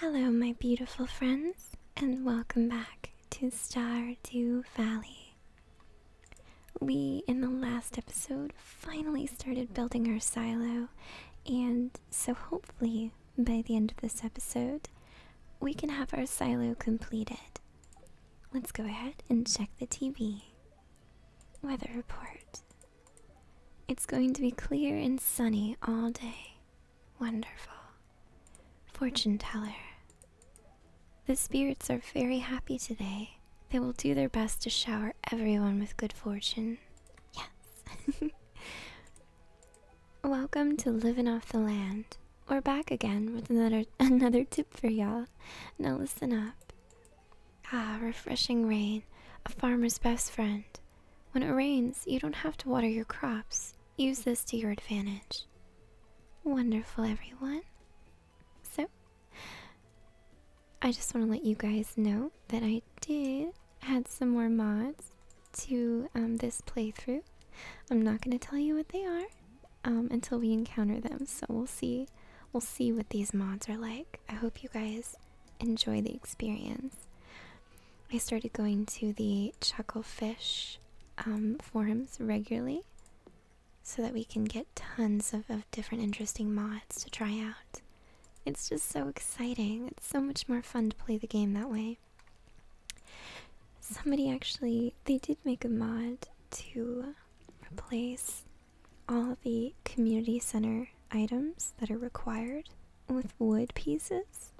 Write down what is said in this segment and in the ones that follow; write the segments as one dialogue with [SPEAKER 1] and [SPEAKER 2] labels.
[SPEAKER 1] Hello, my beautiful friends, and welcome back to Star Stardew Valley. We, in the last episode, finally started building our silo, and so hopefully, by the end of this episode, we can have our silo completed. Let's go ahead and check the TV. Weather report. It's going to be clear and sunny all day. Wonderful. Fortune teller. The spirits are very happy today. They will do their best to shower everyone with good fortune. Yes. Welcome to living off the land. We're back again with another another for y'all. Now listen up. Ah, refreshing rain, a farmer's best friend. When it rains, you don't have to water your crops. Use this to your advantage. Wonderful, everyone. So, I just want to let you guys know that I did add some more mods to um, this playthrough. I'm not going to tell you what they are, um, until we encounter them. So we'll see. We'll see what these mods are like. I hope you guys enjoy the experience. I started going to the Chucklefish um, forums regularly so that we can get tons of different interesting mods to try out. It's just so exciting. It's so much more fun to play the game that way. Somebody actually, they did make a mod to replace all the community center items that are required with wood pieces.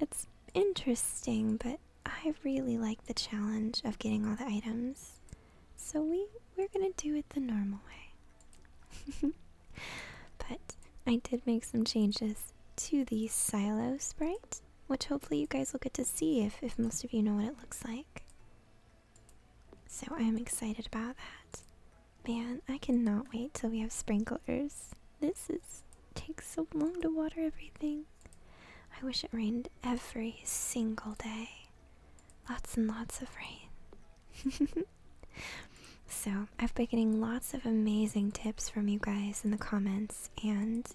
[SPEAKER 1] It's interesting, but I really like the challenge of getting all the items. So we we're going to do it the normal way. but I did make some changes to the silo sprite which hopefully you guys will get to see if, if most of you know what it looks like. So I'm excited about that. Man, I cannot wait till we have sprinklers. This is takes so long to water everything. I wish it rained every single day. Lots and lots of rain. so, I've been getting lots of amazing tips from you guys in the comments, and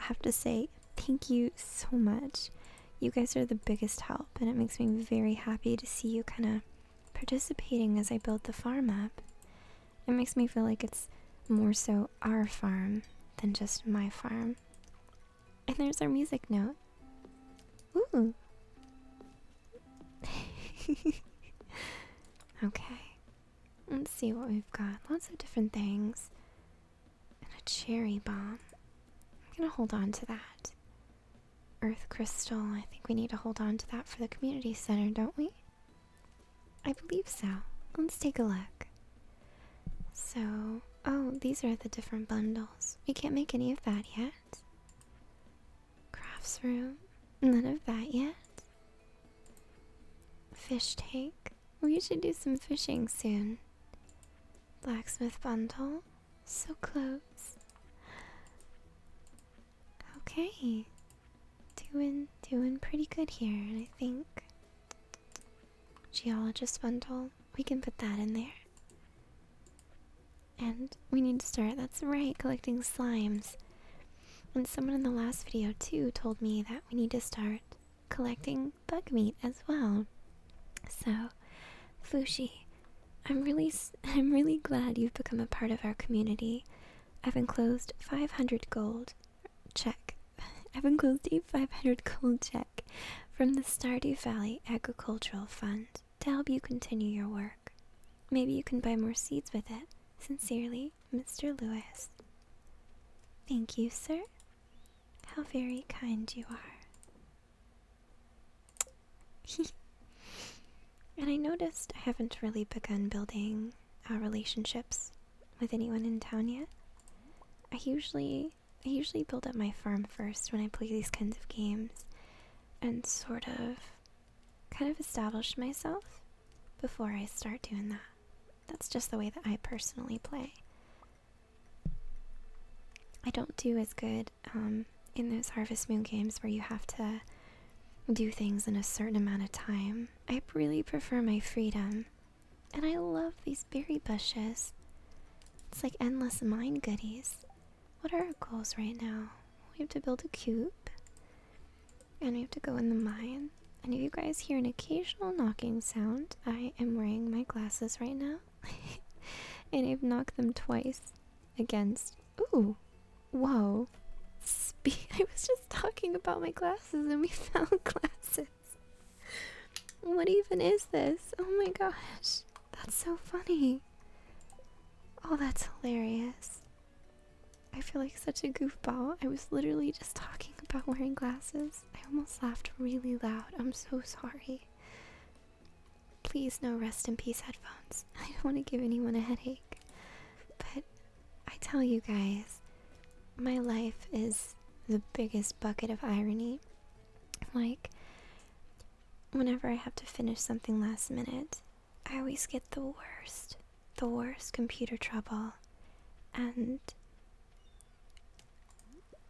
[SPEAKER 1] I have to say thank you so much. You guys are the biggest help, and it makes me very happy to see you kind of participating as I build the farm up. It makes me feel like it's more so our farm than just my farm. And there's our music note. Ooh. okay. Let's see what we've got. Lots of different things and a cherry bomb. I'm gonna hold on to that. Earth crystal, I think we need to hold on to that for the community center, don't we? I believe so. Let's take a look. So, oh, these are the different bundles. We can't make any of that yet. Crafts room, none of that yet. Fish tank, we should do some fishing soon. Blacksmith bundle. So close. Okay. Doing doing pretty good here, I think. Geologist bundle. We can put that in there. And we need to start, that's right, collecting slimes. And someone in the last video too told me that we need to start collecting bug meat as well. So, Fushi, I'm really, I'm really glad you've become a part of our community. I've enclosed 500 gold check. I've enclosed a 500 gold check from the Stardew Valley Agricultural Fund to help you continue your work. Maybe you can buy more seeds with it. Sincerely, Mr. Lewis. Thank you, sir. How very kind you are. and I noticed I haven't really begun building our uh, relationships with anyone in town yet. I usually I usually build up my farm first when I play these kinds of games and sort of kind of establish myself before I start doing that. That's just the way that I personally play. I don't do as good um, in those Harvest Moon games where you have to do things in a certain amount of time. I really prefer my freedom. And I love these berry bushes. It's like endless mine goodies. What are our goals right now? We have to build a cube. And we have to go in the mine. And if you guys hear an occasional knocking sound, I I am wearing my glasses right now. and I've knocked them twice against. Ooh! Whoa! Spe I was just talking about my glasses and we found glasses. What even is this? Oh my gosh. That's so funny. Oh, that's hilarious. I feel like such a goofball. I was literally just talking about wearing glasses. I almost laughed really loud. I'm so sorry. Please no rest in peace headphones. I don't want to give anyone a headache. But I tell you guys, my life is the biggest bucket of irony. Like whenever I have to finish something last minute, I always get the worst, the worst computer trouble. And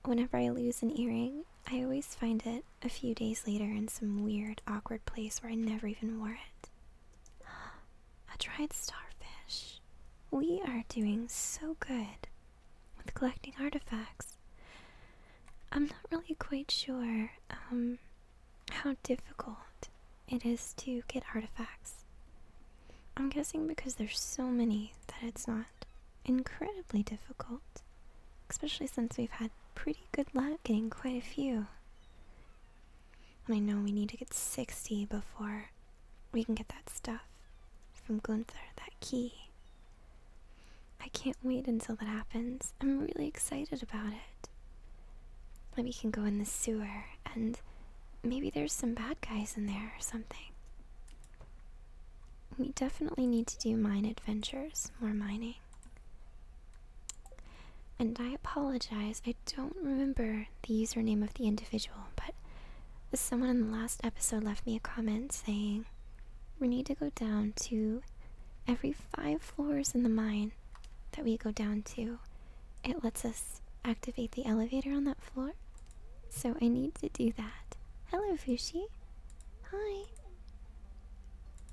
[SPEAKER 1] Whenever I lose an earring, I always find it a few days later in some weird, awkward place where I never even wore it. A dried starfish. We are doing so good with collecting artifacts. I'm not really quite sure um, how difficult it is to get artifacts. I'm guessing because there's so many that it's not incredibly difficult, especially since we've had pretty good luck getting quite a few. And I know we need to get 60 before we can get that stuff from Gunther, that key. I can't wait until that happens. I'm really excited about it. Maybe we can go in the sewer, and maybe there's some bad guys in there or something. We definitely need to do mine adventures, more mining. And I apologize, I don't remember the username of the individual, but someone in the last episode left me a comment saying we need to go down to every five floors in the mine that we go down to. It lets us activate the elevator on that floor so I need to do that. Hello, Fushi. Hi.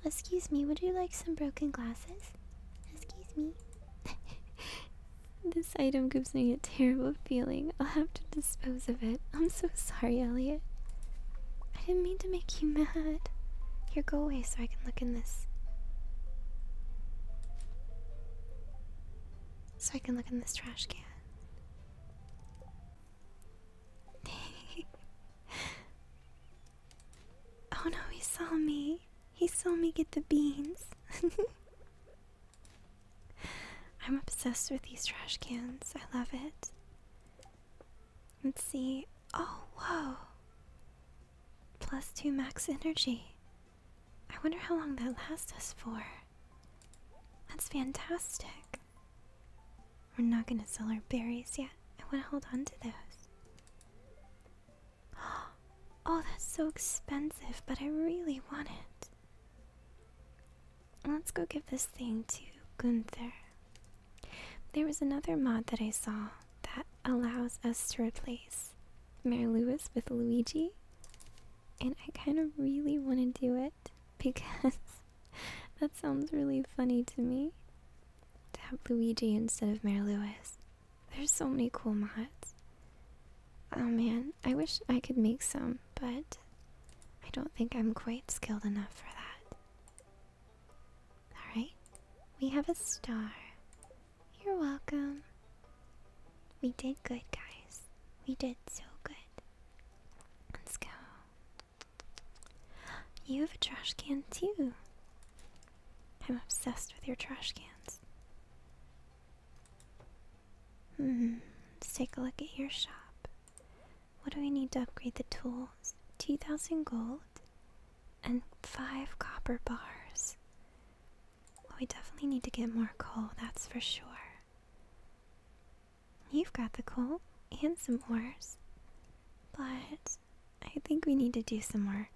[SPEAKER 1] Excuse me, would you like some broken glasses? Excuse me. this item gives me a terrible feeling. I'll have to dispose of it. I'm so sorry, Elliot. I didn't mean to make you mad. Here, go away so I can look in this. So I can look in this trash can. oh no, he saw me. He saw me get the beans. I'm obsessed with these trash cans. I love it. Let's see. Oh, whoa. Plus two max energy. I wonder how long that lasts us for. That's fantastic. We're not gonna sell our berries yet. I wanna hold on to those. Oh, that's so expensive, but I really want it. Let's go give this thing to Gunther. There was another mod that I saw that allows us to replace Mary Lewis with Luigi and I kind of really want to do it because that sounds really funny to me. To have Luigi instead of Mary Lewis. There's so many cool mods. Oh man, I wish I could make some, but I don't think I'm quite skilled enough for that. Alright, we have a star. You're welcome. We did good, guys. We did so good. Let's go. You have a trash can too. I'm obsessed with your trash cans. Hmm, let's take a look at your shop. What do we need to upgrade the tools? 2,000 gold and 5 copper bars. Well, we definitely need to get more coal, that's for sure. You've got the coal and some ores, but I think we need to do some more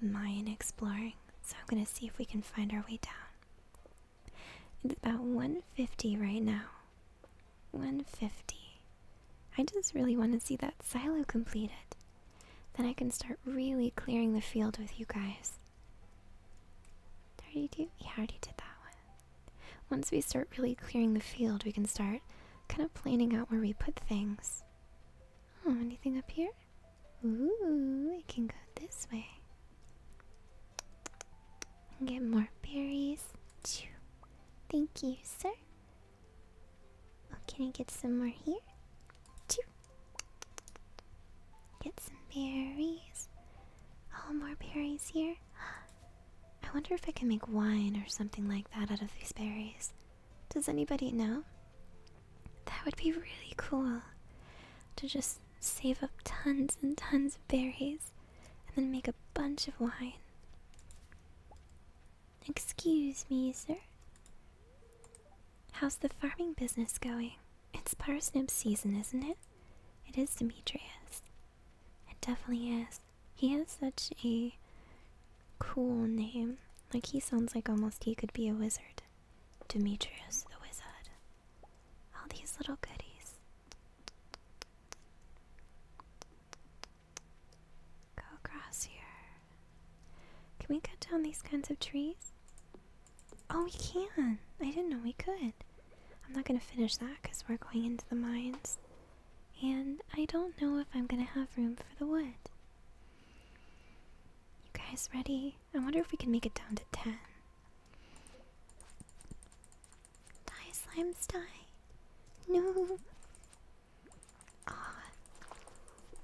[SPEAKER 1] mine exploring. So I'm gonna see if we can find our way down. It's about 150 right now. 150. I just really want to see that silo completed. Then I can start really clearing the field with you guys. 32? Yeah, I already did that one. Once we start really clearing the field, we can start kind of planning out where we put things. Oh, anything up here? Ooh, it can go this way. And get more berries. Chew. Thank you, sir. Oh, can I get some more here? Chew. Get some berries. Oh, more berries here. I wonder if I can make wine or something like that out of these berries. Does anybody know? That would be really cool. To just save up tons and tons of berries and then make a bunch of wine. Excuse me, sir. How's the farming business going? It's parsnip season, isn't it? It is, Demetrius. It definitely is. He has such a cool name. Like, he sounds like almost he could be a wizard. Demetrius the Wizard. All these little goodies. Go across here. Can we cut down these kinds of trees? Oh, we can. I didn't know we could. I'm not gonna finish that because we're going into the mines. And I don't know if I'm gonna have room for the wood. You guys ready? I wonder if we can make it down to 10. Die, slimes, die. No. Aw. Ah.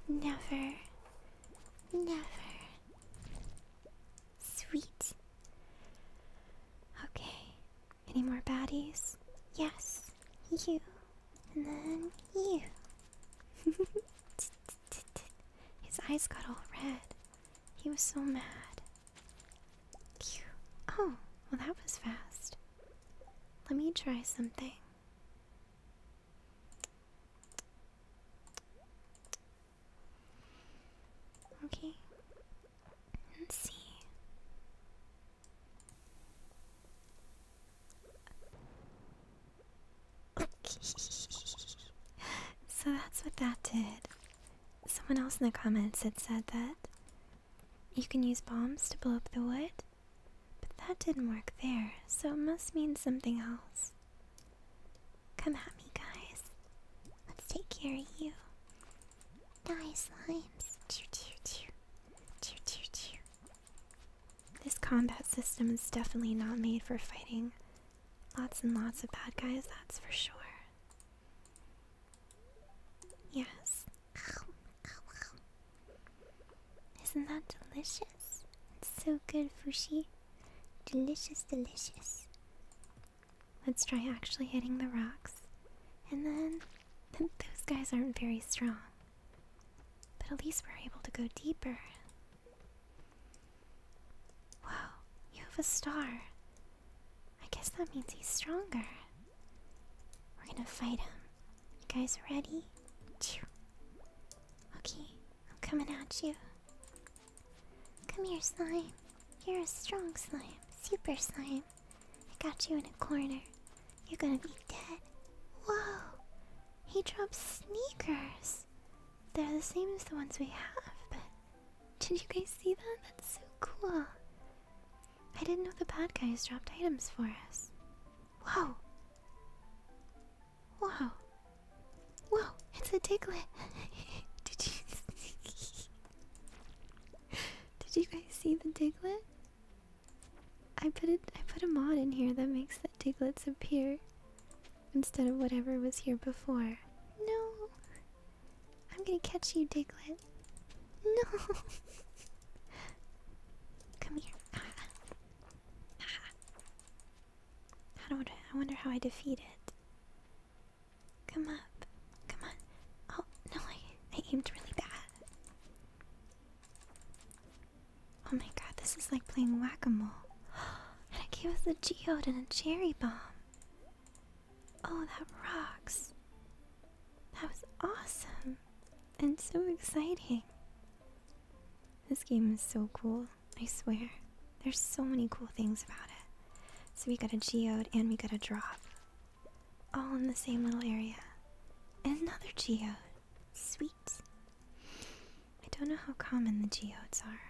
[SPEAKER 1] Never. Never. Sweet. Okay. Any more baddies? Yes. You. And then you. His eyes got all red. He was so mad. Oh, well, that was fast. Let me try something. Okay. Let's see. so that's what that did. Someone else in the comments had said that you can use bombs to blow up the wood, but that didn't work there, so it must mean something else. Come at me, guys. Let's take care of you. Die, slimes. Choo, This combat system is definitely not made for fighting lots and lots of bad guys, that's for sure. Yes. Isn't that delicious? It's so good, Fushi. Delicious, delicious. Let's try actually hitting the rocks. And then, those guys aren't very strong. But at least we're able to go deeper. Wow, you have a star. I guess that means he's stronger. We're gonna fight him. You guys ready? Okay, I'm coming at you. Come here, slime. You're a strong slime, super slime. I got you in a corner. You're gonna be dead. Whoa! He dropped sneakers! They're the same as the ones we have, but did you guys see that? That's so cool. I didn't know the bad guys dropped items for us. Whoa! Whoa! Whoa, it's a diglet. Did you Did you guys see the diglet? I put it put a mod in here that makes the Diglets appear instead of whatever was here before. No. I'm gonna catch you, diglet. No. Come here. Ah. Ah. I don't I wonder how I defeat it. Come up. Come on. Oh, no, I, I aimed really bad. Oh my god, this is like playing whack a mole. and I gave us a geode and a cherry bomb. Oh, that rocks. That was awesome and so exciting. This game is so cool. I swear, there's so many cool things about it. So we got a geode and we got a drop. All in the same little area. And another geode. Sweet. I don't know how common the geodes are.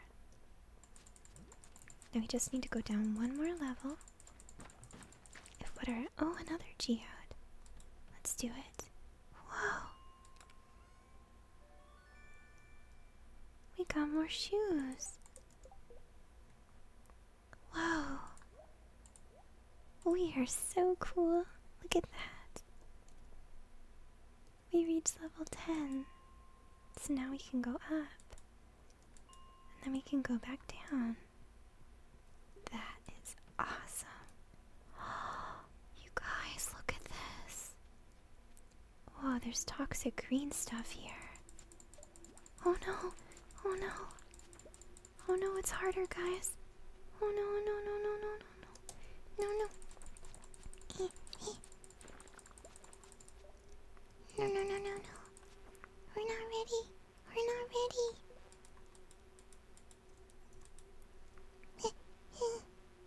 [SPEAKER 1] Now we just need to go down one more level. If what are. Oh, another geode. Let's do it. Whoa! We got more shoes. Whoa. We are so cool. Look at that. We reached level 10. So now we can go up. And then we can go back down. That is awesome. you guys, look at this. Oh, there's toxic green stuff here. Oh no! Oh no! Oh no, it's harder, guys. Oh no, no, no, no, no, no, no. No, no. Eh, eh. No, no, no, no, no. We're not ready. We're not ready.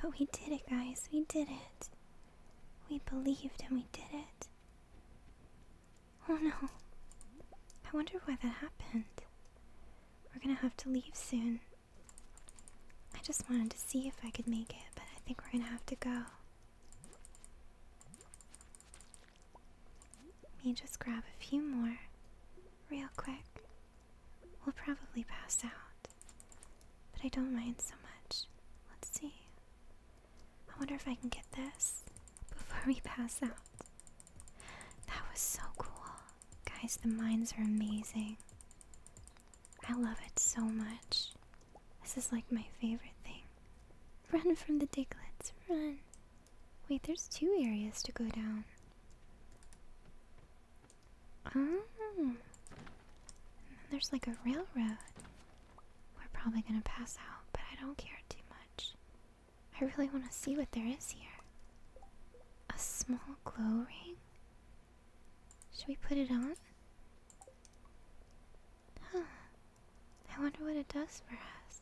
[SPEAKER 1] But we did it, guys. We did it. We believed and we did it. Oh no. I wonder why that happened. We're gonna have to leave soon. I just wanted to see if I could make it, but I think we're gonna have to go. Let me just grab a few more, real quick. We'll probably pass out. But I don't mind so much. Let's see. I wonder if I can get this before we pass out. That was so cool. Guys, the mines are amazing. I love it so much. This is like my favorite thing. Run from the diglets, run! Wait, there's two areas to go down. Oh. there's like a railroad. We're probably gonna pass out, but I don't care too much. I really want to see what there is here. A small glow ring? Should we put it on? Huh. I wonder what it does for us.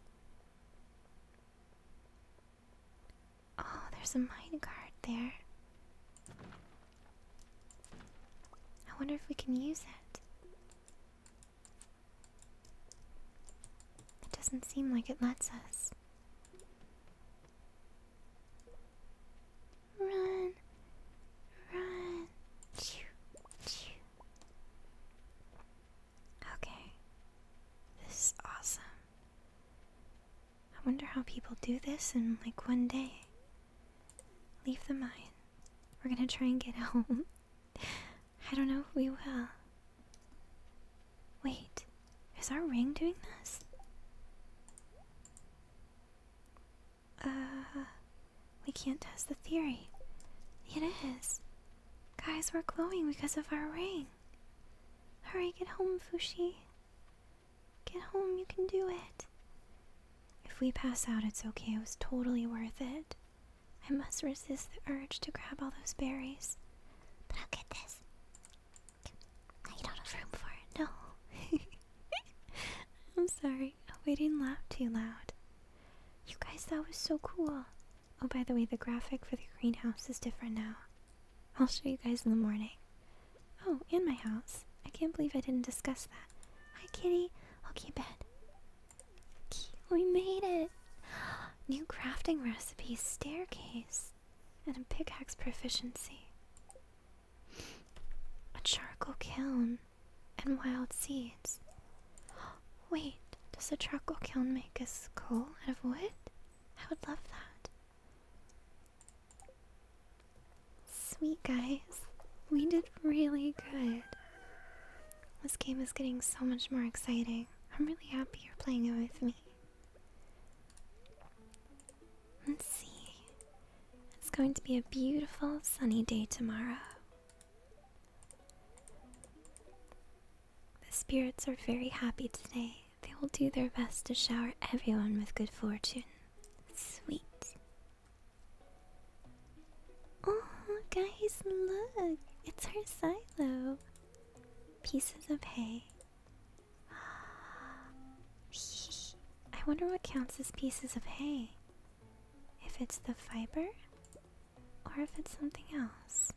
[SPEAKER 1] Oh, there's a minecart there. I wonder if we can use it. It doesn't seem like it lets us. Run, run. Okay, this is awesome. I wonder how people do this in like one day. Leave the mine. We're gonna try and get home. I don't know if we will. Wait, is our ring doing this? Uh, we can't test the theory. It is. Guys, we're glowing because of our ring. Hurry, get home, Fushie. Get home, you can do it. If we pass out, it's okay. It was totally worth it. I must resist the urge to grab all those berries. But I'll get this. I don't have room for it, no. I'm sorry, I didn't laugh too loud. You guys, that was so cool. Oh, by the way, the graphic for the greenhouse is different now. I'll show you guys in the morning. Oh, and my house. I can't believe I didn't discuss that. Hi, kitty. Okay, bed. We made it! New crafting recipes, staircase, and a pickaxe proficiency. A charcoal kiln and wild seeds. Wait, does a charcoal kiln make us coal out of wood? I would love that. Sweet guys, we did really good. This game is getting so much more exciting. I'm really happy you're playing it with me. Let's see. It's going to be a beautiful sunny day tomorrow. The spirits are very happy today. They will do their best to shower everyone with good fortune. Sweet. Oh, guys, look! It's her silo. Pieces of hay. I wonder what counts as pieces of hay. If it's the fiber, or if it's something else.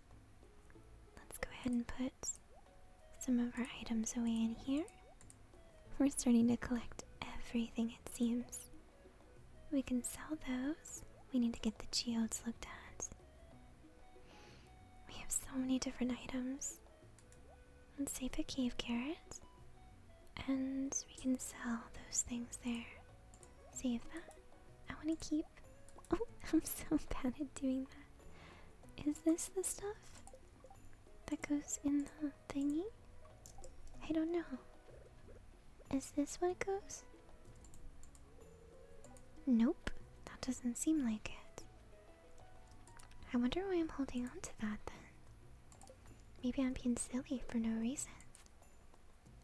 [SPEAKER 1] Let's go ahead and put some of our items away in here. We're starting to collect everything, it seems. We can sell those. We need to get the geodes looked at. We have so many different items. Let's save a cave carrot. And we can sell those things there. Save that. I want to keep. Oh, I'm so bad at doing that. Is this the stuff that goes in the thingy? I don't know. Is this what it goes? Nope, that doesn't seem like it. I wonder why I'm holding on to that then. Maybe I'm being silly for no reason.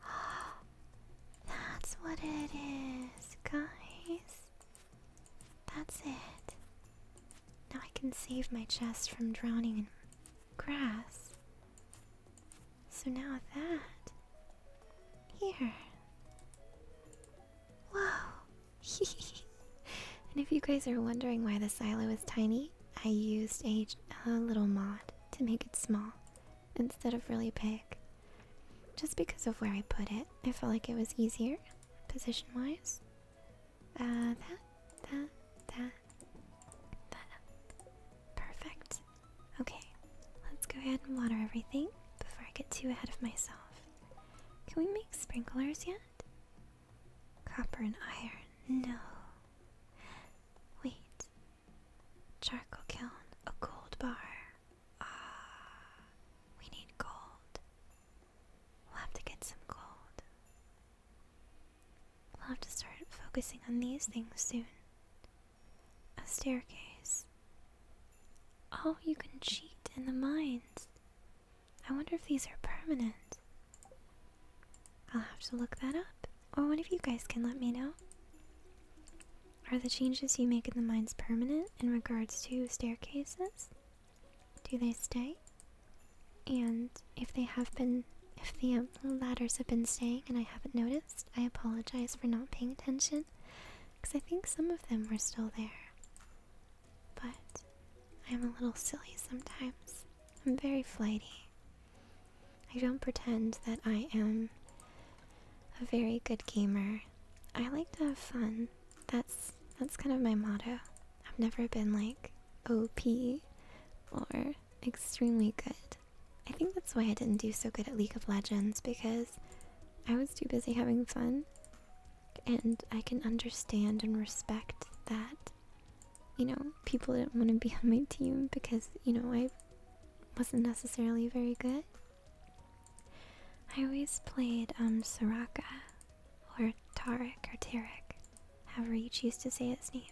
[SPEAKER 1] That's what it is, guys. That's it. Now I can save my chest from drowning in grass. So now that. Here. Wow. and if you guys are wondering why the silo is tiny, I used a little mod to make it small instead of really big. Just because of where I put it, I felt like it was easier position wise. Uh, that, that, that, that. Perfect. Okay, let's go ahead and water everything before I get too ahead of myself. Can we make sprinklers yet? Copper and iron. No. Wait. Charcoal kiln. A gold bar. Ah. We need gold. We'll have to get some gold i will have to start focusing on these things soon. A staircase. Oh, you can cheat in the minds. I wonder if these are permanent. I'll have to look that up. Or one of you guys can let me know. Are the changes you make in the minds permanent in regards to staircases? do they stay? And if they have been, if um, the ladders have been staying and I haven't noticed, I apologize for not paying attention because I think some of them were still there. But I'm a little silly sometimes. I'm very flighty. I don't pretend that I am a very good gamer. I like to have fun. That's that's kind of my motto. I've never been like OP or extremely good. I think that's why I didn't do so good at League of Legends because I was too busy having fun. And I can understand and respect that, you know, people didn't want to be on my team because, you know, I wasn't necessarily very good. I always played um Soraka or Tarek or Tarek however you choose to say its name.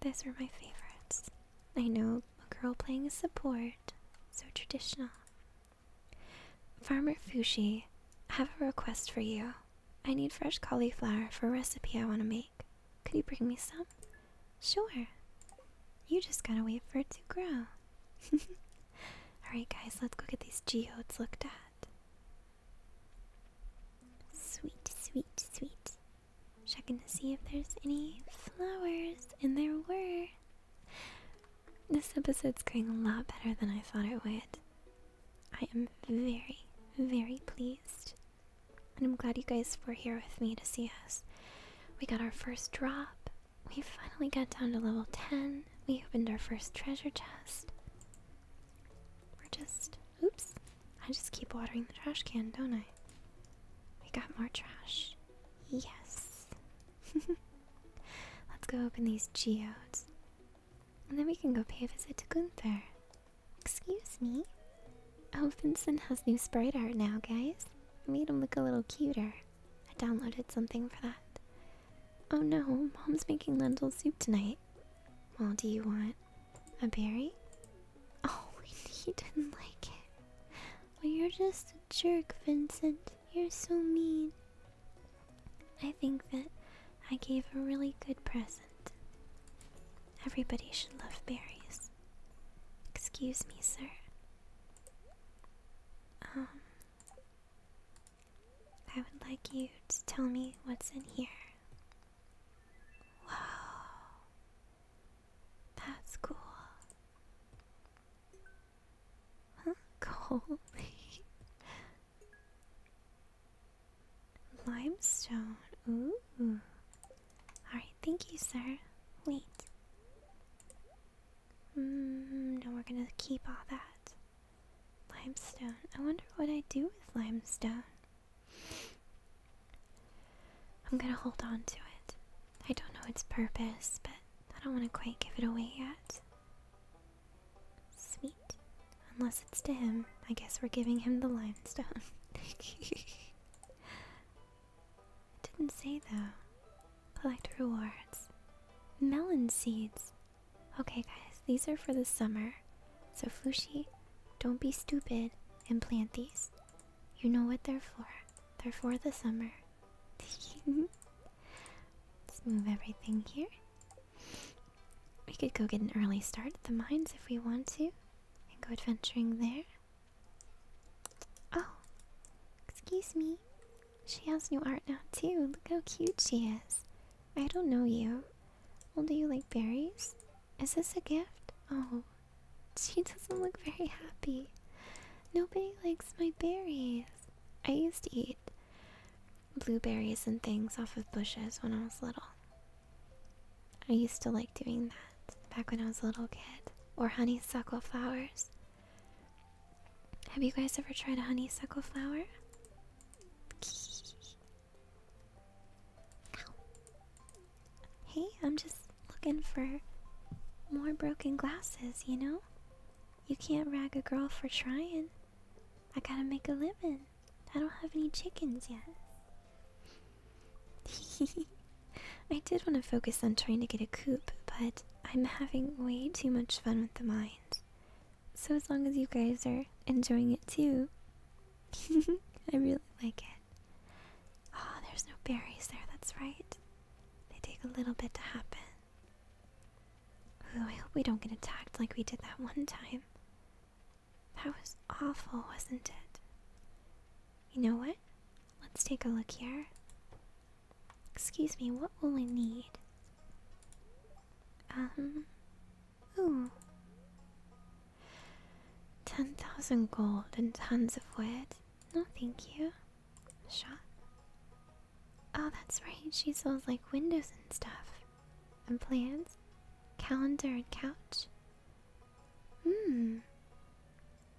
[SPEAKER 1] Those are my favorites. I know a girl playing a support, so traditional. Farmer Fushi, I have a request for you. I need fresh cauliflower for a recipe I want to make. Could you bring me some? Sure. You just gotta wait for it to grow. Alright, guys, let's go get these geodes looked at. Sweet, sweet, sweet. Checking to see if there's any flowers, and there were. This episode's going a lot better than I thought it would. I am very, very pleased. And I'm glad you guys were here with me to see us. We got our first drop. We finally got down to level 10. We opened our first treasure chest. We're just. Oops. I just keep watering the trash can, don't I? We got more trash. Yes. Let's go open these geodes. And then we can go pay a visit to Gunther. Excuse me? Oh, Vincent has new sprite art now, guys. made him look a little cuter. I downloaded something for that. Oh no, mom's making lentil soup tonight. Well, do you want a berry? Oh, he didn't like it. Well, you're just a jerk, Vincent. You're so mean. I think that I gave a really good present. Everybody should love berries. Excuse me, sir. Um, I would like you to tell me what's in here. Wow. That's cool. Huh? Cold. Limestone. Ooh. Alright, thank you, sir. Wait. Mm, no, we're gonna keep all that. Limestone. I wonder what I do with limestone. I'm gonna hold on to it. I don't know its purpose, but I don't want to quite give it away yet. Sweet. Unless it's to him. I guess we're giving him the limestone. didn't say though. Collect rewards. Melon seeds. Okay, guys, these are for the summer. So, Fushi, don't be stupid and plant these. You know what they're for. They're for the summer. Let's move everything here. We could go get an early start at the mines if we want to and go adventuring there. Oh, excuse me. She has new art now, too. Look how cute she is. I don't know you. Well, do you like berries? Is this a gift? Oh, she doesn't look very happy. Nobody likes my berries. I used to eat blueberries and things off of bushes when I was little. I used to like doing that back when I was a little kid. Or honeysuckle flowers. Have you guys ever tried a honeysuckle flower? Hey, I'm just looking for more broken glasses, you know? You can't rag a girl for trying. I gotta make a living. I don't have any chickens yet. I did want to focus on trying to get a coop, but I'm having way too much fun with the mines. So as long as you guys are enjoying it too, I really like it. Oh, there's no berries there, that's right. They take a little bit to happen. Ooh, I hope we don't get attacked like we did that one time. That was awful, wasn't it? You know what? Let's take a look here. Excuse me, what will we need? Um, Ooh. Ten thousand gold and tons of wood. No, thank you. Shot. Oh, that's right. She sells like windows and stuff, and plants, calendar and couch. Hmm.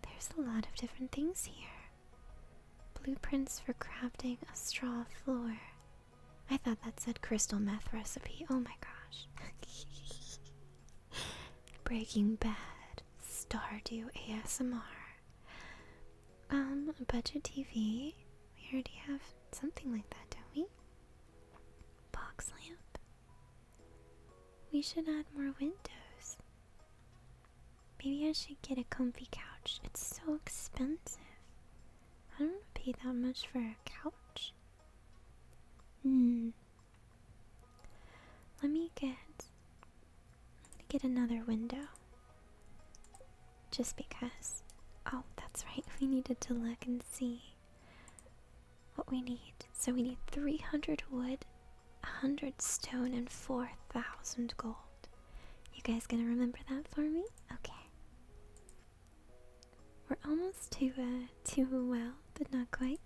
[SPEAKER 1] There's a lot of different things here. Blueprints for crafting a straw floor. I thought that said crystal meth recipe. Oh my gosh. Breaking Bad, Stardew ASMR. Um, Budget TV. We already have something like that, don't we? Box lamp. We should add more windows. Maybe I should get a comfy couch. It's so expensive. I don't want to pay that much for a couch. Hmm. Let me get let me get another window. Just because. Oh, that's right. We needed to look and see what we need. So we need 300 wood, 100 stone, and 4,000 gold. You guys gonna remember that for me? Okay. We're almost to a uh, to a well, but not quite.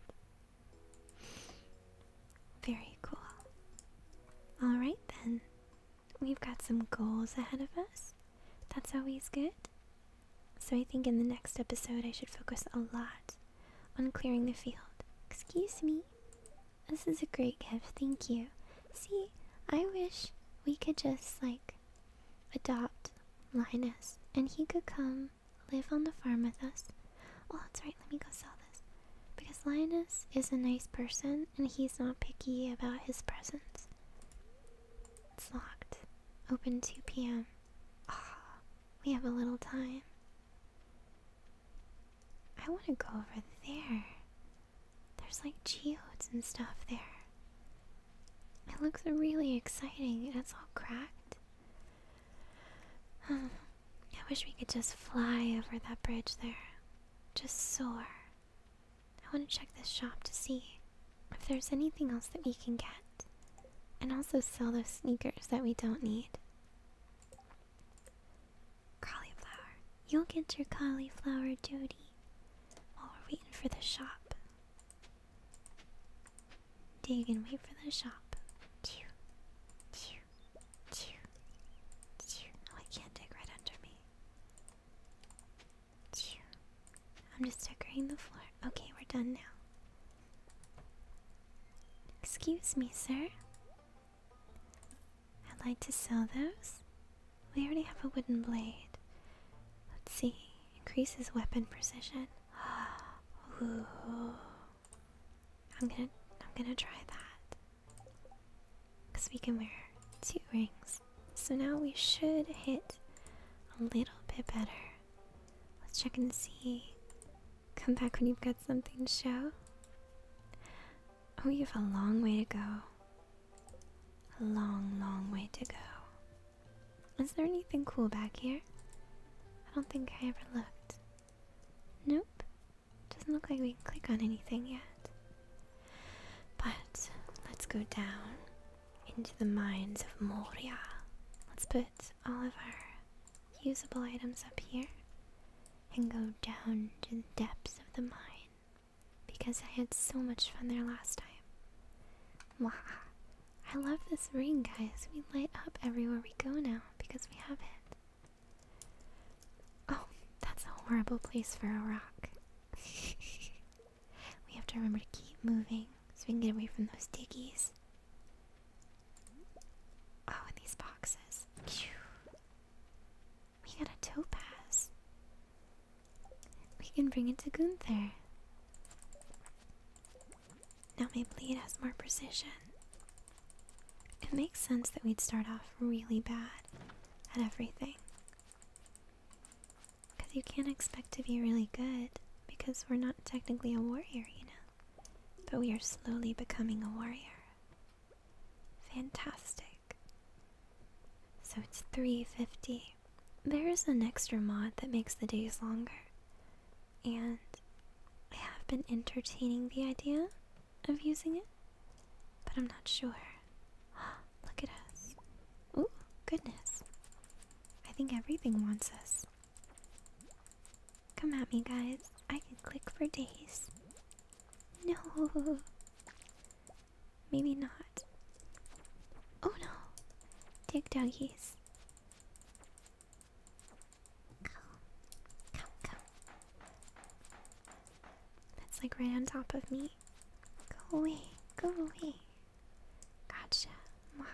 [SPEAKER 1] Very cool. Alright then. We've got some goals ahead of us. That's always good. So I think in the next episode I should focus a lot on clearing the field. Excuse me. This is a great gift, thank you. See, I wish we could just like adopt Linus, and he could come live on the farm with us. Oh, that's right, let me go sell this. Because Linus is a nice person, and he's not picky about his presents. It's locked. Open 2 p.m. Ah, we have a little time. I want to go over there. There's like geodes and stuff there. It looks really exciting. and It's all cracked. Um, I wish we could just fly over that bridge there. Just soar. I want to check this shop to see if there's anything else that we can get. And also sell those sneakers that we don't need. Cauliflower. You'll get your cauliflower, Jody. While we're waiting for the shop. Dig and wait for the shop. Chew. Oh, I can't dig right under me. I'm just decorating the floor. Okay, we're done now. Excuse me, sir. I'd like to sell those. We already have a wooden blade. Let's see. Increases weapon precision. Ooh. I'm gonna I'm gonna try that. Cause we can wear two rings. So now we should hit a little bit better. Let's check and see. Come back when you've got something to show. Oh, you have a long way to go. A long, long way to go. Is there anything cool back here? I don't think I ever looked. Nope. Doesn't look like we can click on anything yet. But let's go down into the mines of Moria. Let's put all of our usable items up here and go down to the depths of the mine because I had so much fun there last time. Wow. I love this ring, guys. We light up everywhere we go now because we have it. Oh, that's a horrible place for a rock. we have to remember to keep moving so we can get away from those diggies. Oh, these boxes. We got a topaz. We can bring it to Gunther. Now my bleed has more precision. It makes sense that we'd start off really bad at everything. Because you can't expect to be really good because we're not technically a warrior, you know. But we are slowly becoming a warrior. Fantastic. So it's 3.50. There is an extra mod that makes the days longer. And I have been entertaining the idea of using it, but I'm not sure. Look at us. Oh, goodness. I think everything wants us. Come at me, guys. I can click for days. No. Maybe not. Oh no. Dig doggies. Ow. Come, come. That's like right on top of me. Go away, go away. Gotcha. Maha.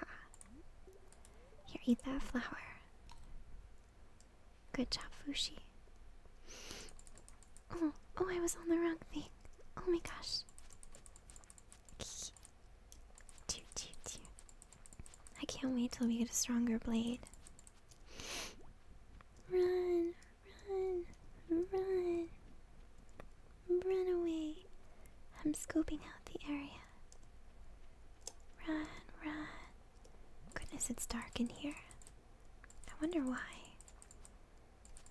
[SPEAKER 1] Here, eat that flower. Good job, Fushi. Oh, oh, I was on the wrong thing oh my gosh. I can't wait till we get a stronger blade. Run, run, run. Run away. I'm scoping out the area. Run, run. Goodness, it's dark in here. I wonder why.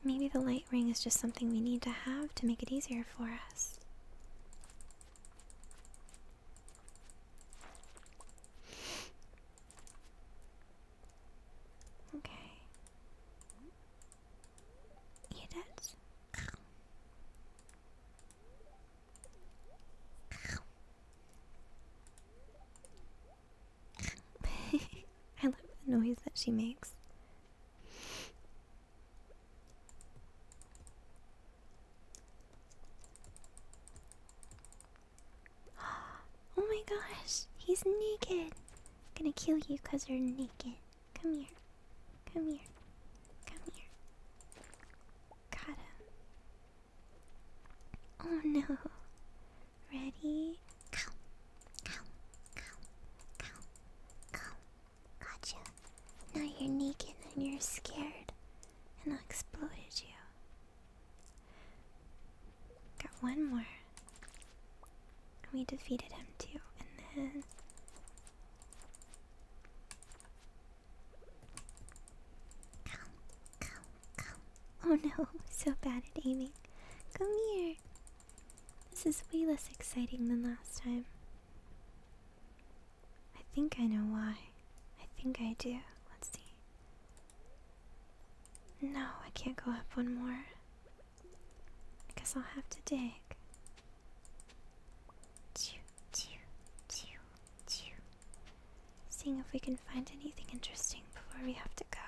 [SPEAKER 1] Maybe the light ring is just something we need to have to make it easier for us. Okay. Eat it. I love the noise that she makes. Oh my gosh, he's naked. gonna kill you because you're naked. Come here. Come here. Come here. Got Oh no. Ready? Cow, cow, cow, cow, cow. Gotcha. Now you're naked and you're scared, and I exploded you. Got one more. we defeated him too, and then. Cow, cow, cow. Oh no, so bad at aiming. Come here. This is way less exciting than last time. I think I know why. I think I do. Let's see. No, I can't go up one more. I guess I'll have to dig. Seeing if we can find anything interesting before we have to go.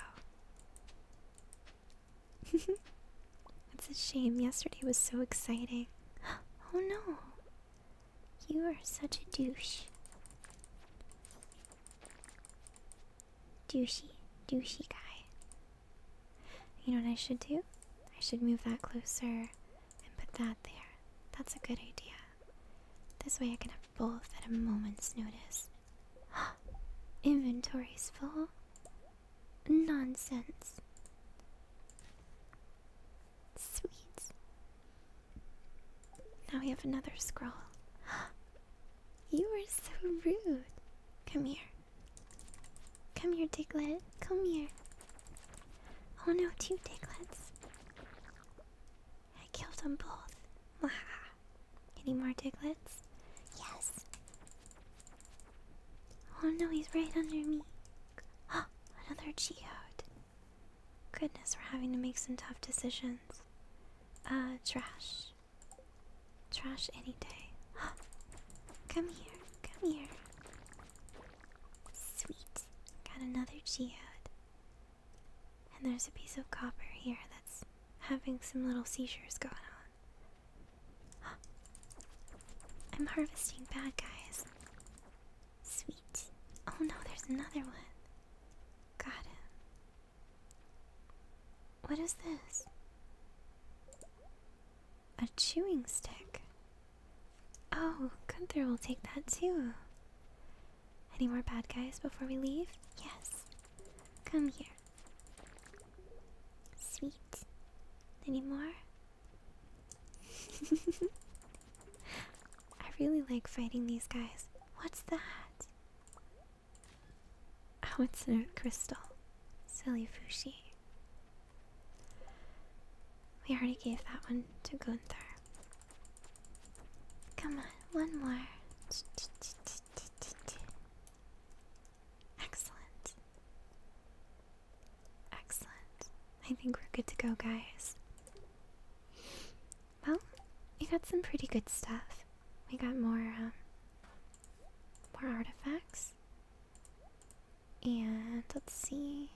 [SPEAKER 1] It's a shame. Yesterday was so exciting. Oh no. You are such a douche. Douchey, douchey guy. You know what I should do? I should move that closer and put that there. That's a good idea. This way I can have both at a moment's notice. Inventory's full. Nonsense. Sweet. Now we have another scroll. you are so rude. Come here. Come here, Diglett. Come here. Oh no, two Diglets. I killed them both. Any more Diglets? Yes. Oh no, he's right under me. Oh, another Geode. Goodness, we're having to make some tough decisions. Uh, trash. Trash any day. Oh, come here, come here. Sweet. Got another Geode. And there's a piece of copper here that's having some little seizures going on. I'm harvesting bad guys. Sweet. Oh no, there's another one. Got him. What is this? A chewing stick. Oh, Gunther will take that too. Any more bad guys before we leave? Yes. Come here. Sweet. Any more? I really like fighting these guys. What's that? Oh, it's a crystal. Silly Fushi. We already gave that one to Gunther. Come on, one more. Excellent. Excellent. I think we're good to go, guys. Well, we got some pretty good stuff. We got more, um, more artifacts. And let's see.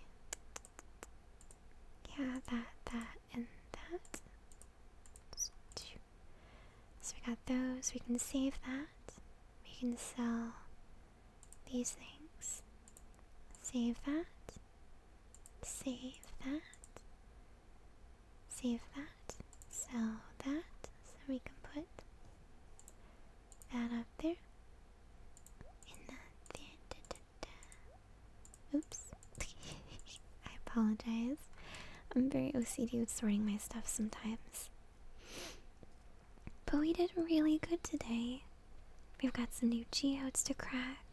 [SPEAKER 1] Yeah, that, that, and that. let so we got those, we can save that. We can sell these things. Save that. Save that. Save that. Sell that. So we can put that up there. And that there. Oops. I apologize. I'm very OCD with sorting my stuff sometimes. But we did really good today. We've got some new geodes to crack.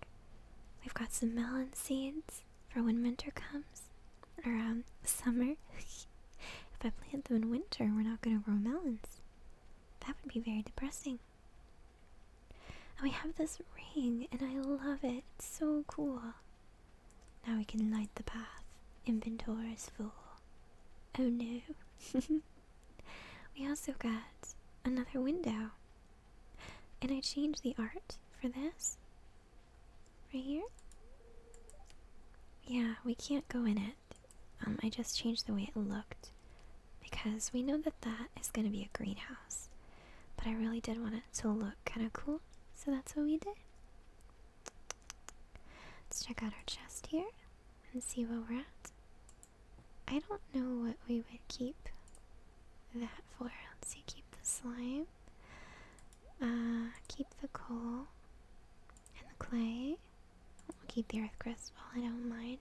[SPEAKER 1] We've got some melon seeds for when winter comes. Or, um, summer. if I plant them in winter, we're not gonna grow melons. That would be very depressing. And we have this ring, and I love it. It's so cool. Now we can light the path. Inventory is full. Oh no. we also got another window. And I changed the art for this. Right here? Yeah, we can't go in it. Um, I just changed the way it looked. Because we know that that is going to be a greenhouse. But I really did want it to look kind of cool. So that's what we did. Let's check out our chest here and see where we're at. I don't know what we would keep that for. Let's see, keep the slime, uh, keep the coal, and the clay. We'll keep the earth crystal, I don't mind.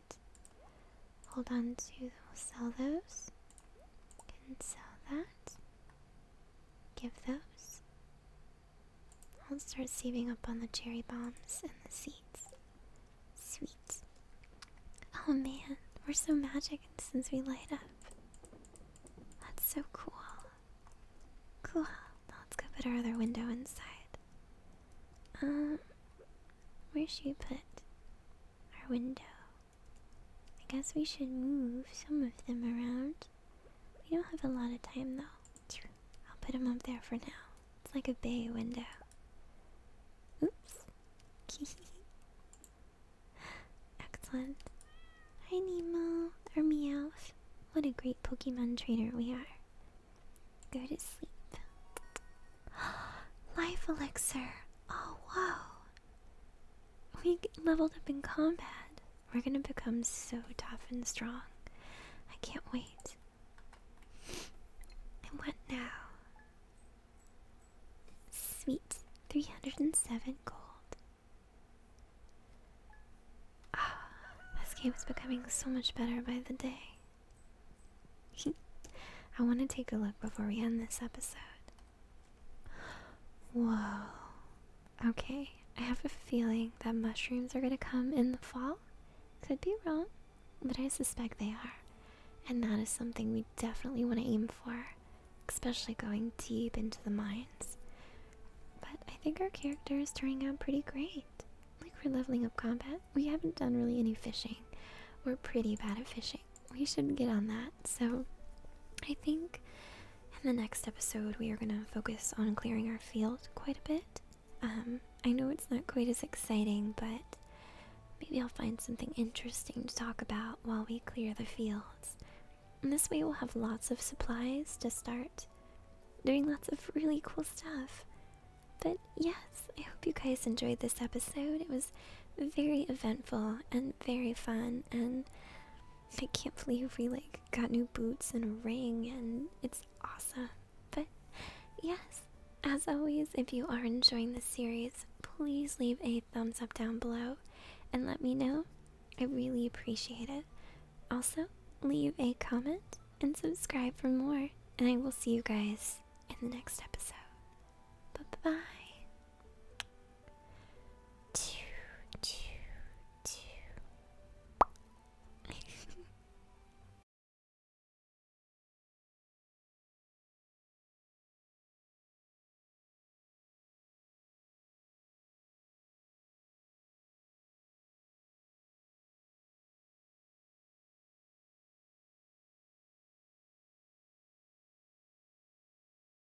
[SPEAKER 1] Hold on to, we'll sell those. Can sell that give those. I'll start saving up on the cherry bombs and the seeds. sweets. Oh man, we're so magic since we light up. That's so cool. Cool. Now let's go put our other window inside. Um, where should we put our window? I guess we should move some of them around. We don't have a lot of time though. I'll put them up there for now. It's like a bay window. Oops. Excellent. Hi Nemo, or Meowth. What a great Pokemon trainer we are. Go to sleep. Life elixir. Oh, whoa we leveled up in combat. We're gonna become so tough and strong. I can't wait. And what now? Sweet 307 gold. Ah, this game is becoming so much better by the day. I want to take a look before we end this episode. Whoa. Okay, I have a feeling that mushrooms are gonna come in the fall. Could be wrong, but I suspect they are. And that is something we definitely want to aim for, especially going deep into the mines. But I think our character is turning out pretty great. Like we're leveling up combat. We haven't done really any fishing. We're pretty bad at fishing. We should get on that. So I think in the next episode, we are going to focus on clearing our field quite a bit. Um, I know it's not quite as exciting, but maybe I'll find something interesting to talk about while we clear the fields. And this way, we'll have lots of supplies to start doing lots of really cool stuff. But yes, I hope you guys enjoyed this episode. It was very eventful and very fun, and I can't believe we like got new boots and a ring and it's awesome. But yes, as always, if you are enjoying this series, please leave a thumbs up down below and let me know. I really appreciate it. Also, leave a comment and subscribe for more. And I will see you guys in the next episode. Bye bye. Two, two, two.